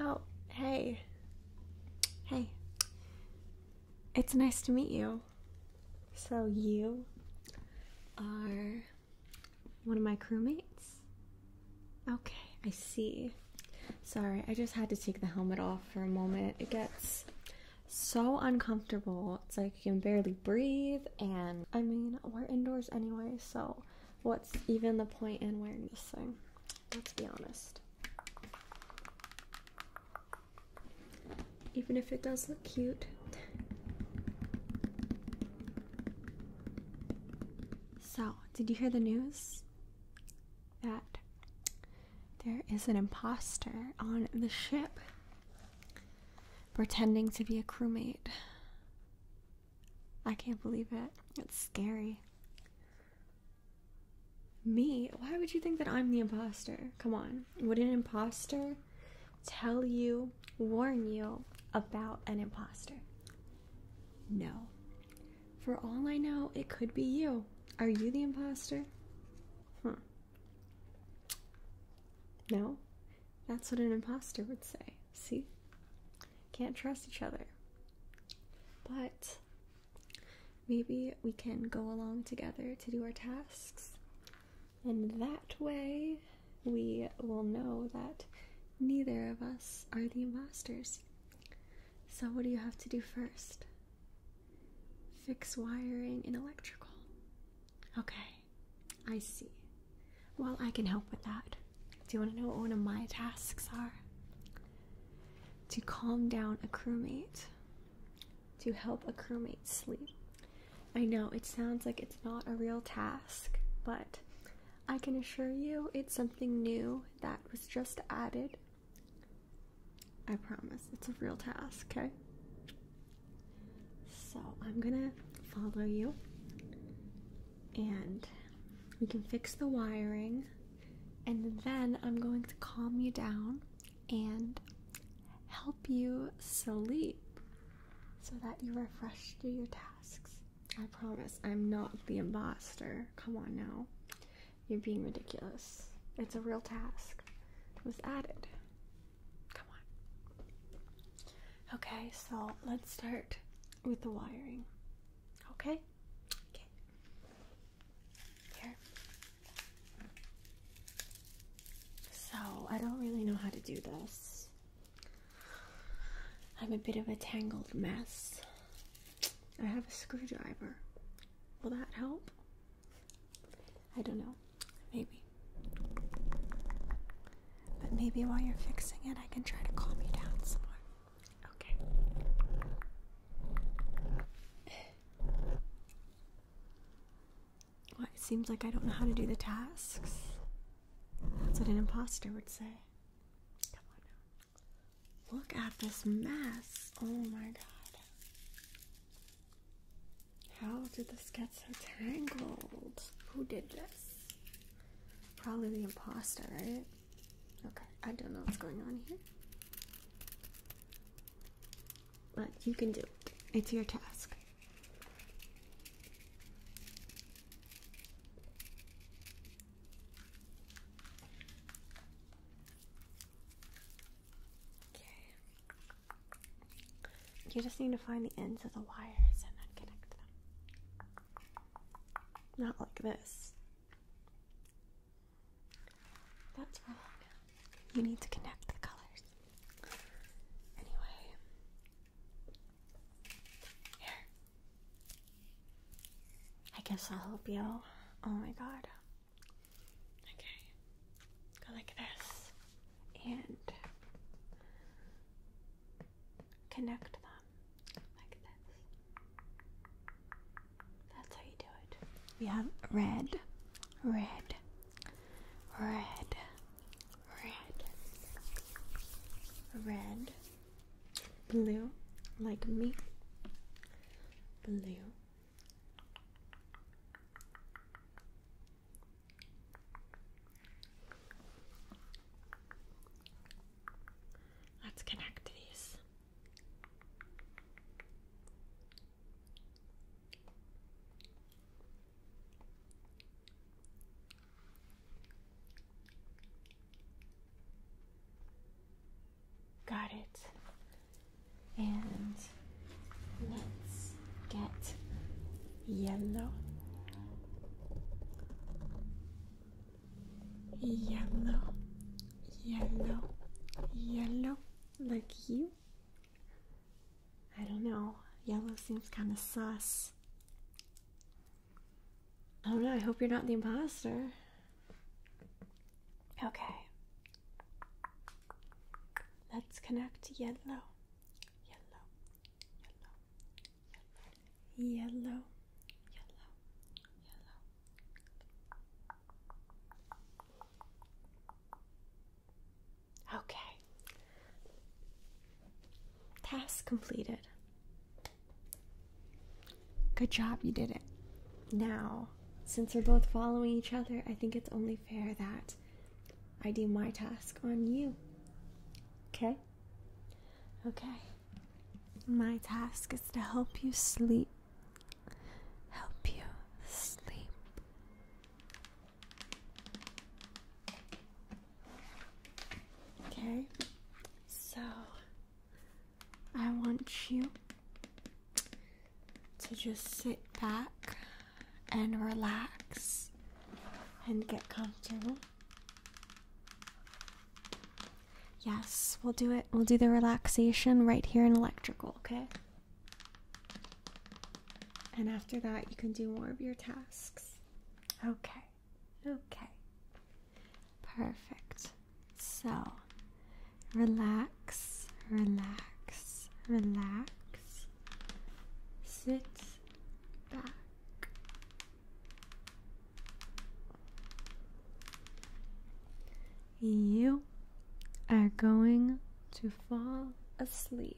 Oh, hey. Hey. It's nice to meet you. So, you are one of my crewmates? Okay, I see. Sorry, I just had to take the helmet off for a moment. It gets so uncomfortable. It's like you can barely breathe, and I mean, we're indoors anyway, so what's even the point in wearing this thing? Let's be honest even if it does look cute. So, did you hear the news? That there is an imposter on the ship pretending to be a crewmate. I can't believe it. It's scary. Me? Why would you think that I'm the imposter? Come on. Would an imposter tell you, warn you about an imposter? No. For all I know, it could be you. Are you the imposter? Hmm. No? That's what an imposter would say. See? Can't trust each other. But maybe we can go along together to do our tasks. And that way, we will know that neither of us are the imposters. So, what do you have to do first? Fix wiring and electrical. Okay, I see. Well, I can help with that. Do you want to know what one of my tasks are? To calm down a crewmate to help a crewmate sleep. I know it sounds like it's not a real task, but I can assure you it's something new that was just added. I promise it's a real task, okay? So I'm gonna follow you and we can fix the wiring, and then I'm going to calm you down and help you sleep so that you are fresh to your tasks. I promise I'm not the imposter. Come on now. You're being ridiculous. It's a real task. It was added. Come on. Okay, so let's start with the wiring. Okay? Okay. Here. So, I don't really know how to do this. I'm a bit of a tangled mess. I have a screwdriver. Will that help? I don't know. Maybe. But maybe while you're fixing it, I can try to calm you down some more. Okay it seems like I don't know how to do the tasks. That's what an imposter would say. Come on now. Look at this mess. Oh my god. How did this get so tangled? Who did this? Probably the imposter, right? Okay, I don't know what's going on here. But you can do it. It's your task. Okay. You just need to find the ends of the wires and then connect them. Not like this. That's wrong. You need to connect the colors. Anyway, here. I guess I'll help you. Oh my god. Okay. Go like this. And connect them like this. That's how you do it. We have red, red, red, red, red, blue, like me, blue. Let's connect these. Got it. And let's get yellow. Yellow, yellow, yellow. Like you? I don't know. Yellow seems kind of sus. Oh no! I hope you're not the imposter. Okay. Let's connect Yellow. Yellow. Yellow. Yellow. Yellow. yellow. Okay. Task completed. Good job, you did it. Now, since we're both following each other, I think it's only fair that I do my task on you. Okay? Okay. My task is to help you sleep help you sleep. Okay, so I want you to just sit back and relax and get comfortable. Yes, we'll do it. We'll do the relaxation right here in electrical, okay? And after that, you can do more of your tasks. Okay. Okay. Perfect. So, relax, relax, relax. Sit back. You are going to fall asleep.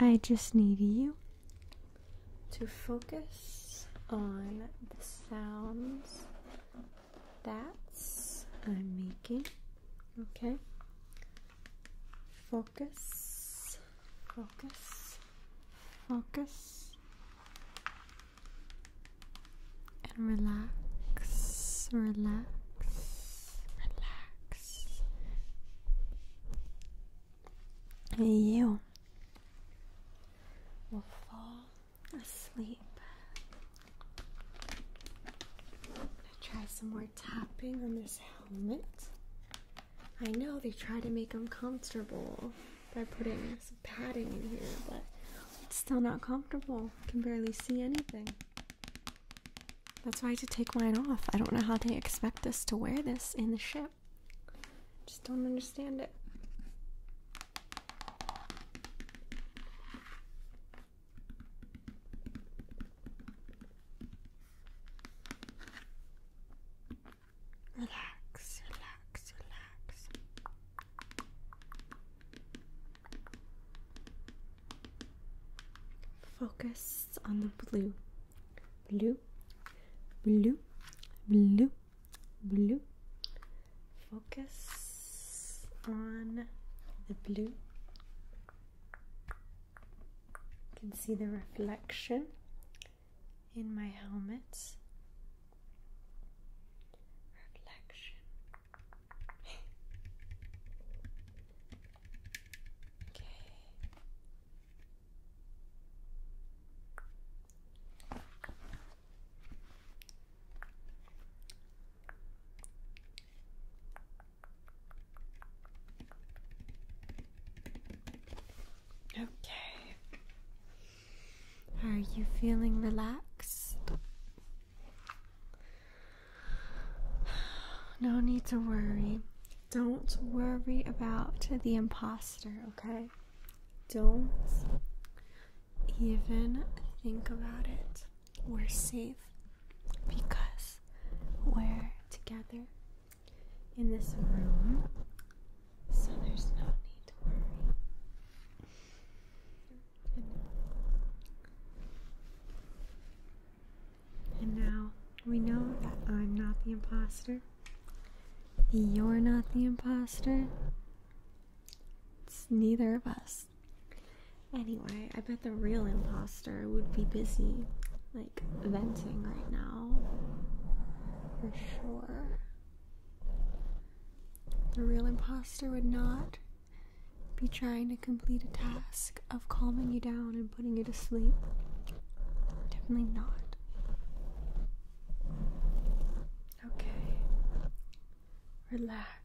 I just need you to focus on the sounds that I'm uh, making. Okay. Focus. Focus. Focus. And relax. Relax. Relax. And you will fall asleep try some more tapping on this helmet. I know they try to make them comfortable by putting some padding in here, but it's still not comfortable. Can barely see anything. That's why I had to take mine off. I don't know how they expect us to wear this in the ship. Just don't understand it. Relax, relax, relax. Focus on the blue. Blue, blue, blue, blue. Focus on the blue. You can see the reflection in my helmet. Reflection. okay. Okay. Are you feeling relaxed? No need to worry. Don't worry about the imposter, okay? Don't even think about it we're safe because we're together in this room, so there's no need to worry. And, and now we know that I'm not the imposter. You're not the imposter. It's neither of us. Anyway, I bet the real imposter would be busy, like, venting right now. For sure. The real imposter would not be trying to complete a task of calming you down and putting you to sleep. Definitely not. Okay. Relax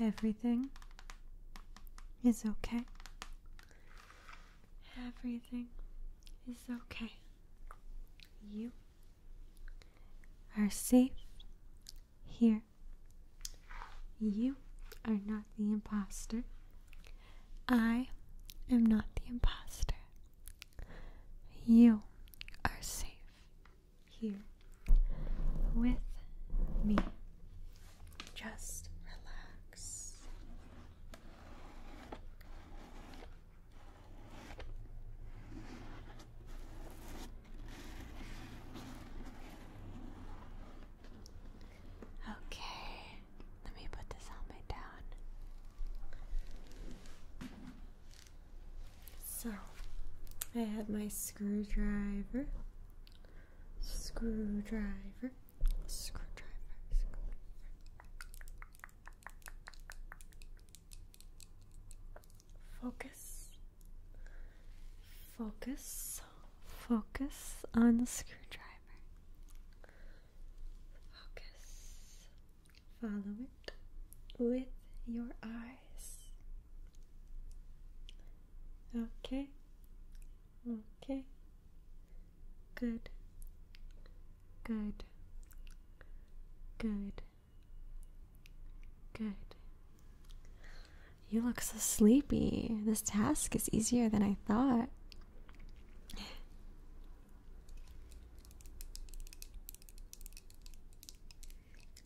Everything is okay. Everything is okay. You are safe here. You are not the imposter. I am not the imposter. You are safe here with me. Just relax. Okay, let me put this helmet down. So, I have my screwdriver, screwdriver, screwdriver, screwdriver. Focus, focus, focus on the screwdriver. Focus. Follow it with your eyes. Okay. Okay. Good. Good. Good. Good. You look so sleepy. This task is easier than I thought.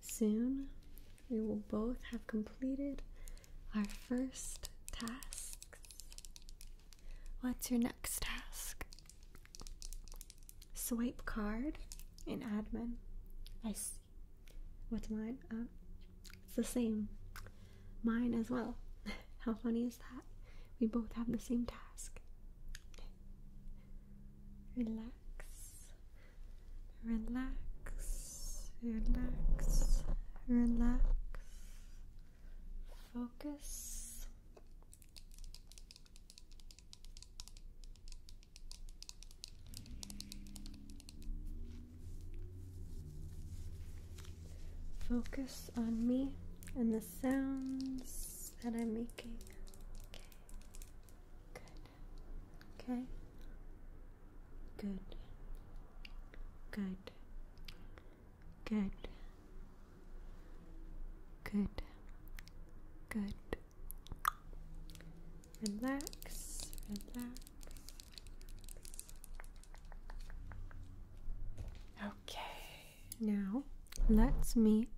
Soon, we will both have completed our first tasks. What's your next task? Swipe card in admin. I see. What's mine? Uh, it's the same mine as well. How funny is that? We both have the same task. Relax, relax, relax, relax, focus focus on me and the sounds that I'm making. Okay. Good. Okay. Good. Good. Good. Good. Good. Relax. Relax. Okay. Now, let me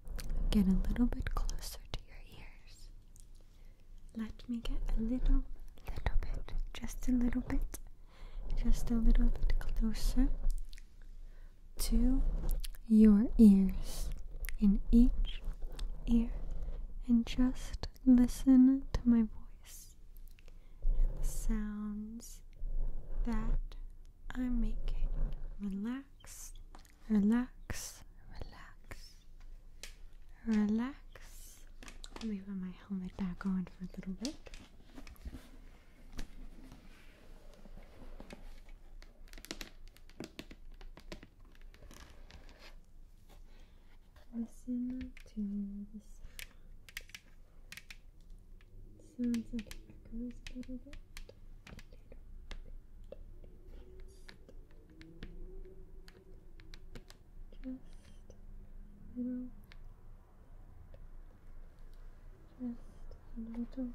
get a little bit closer to your ears. Let me get a little, little bit, just a little bit, just a little bit closer to your ears in each ear and just listen to my voice and the sounds that I'm making. Relax, relax, relax, relax. Let me put my helmet back on for a little bit. Listen to the Sounds like it echoes a little bit. Just a little. Just a little.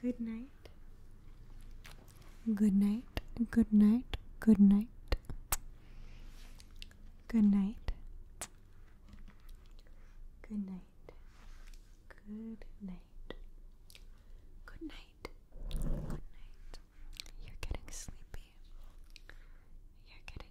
Good night. Good night. Good night. Good night. Good night. Good night. Good night. Good night. Good night. You're getting sleepy. You're getting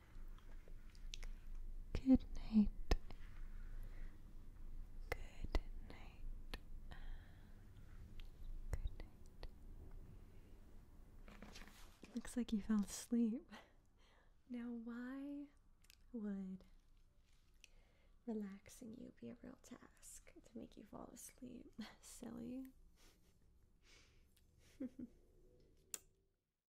Good night. Good night. Good night. Looks like you fell asleep. Now, why would relaxing you be a real task to make you fall asleep? Silly.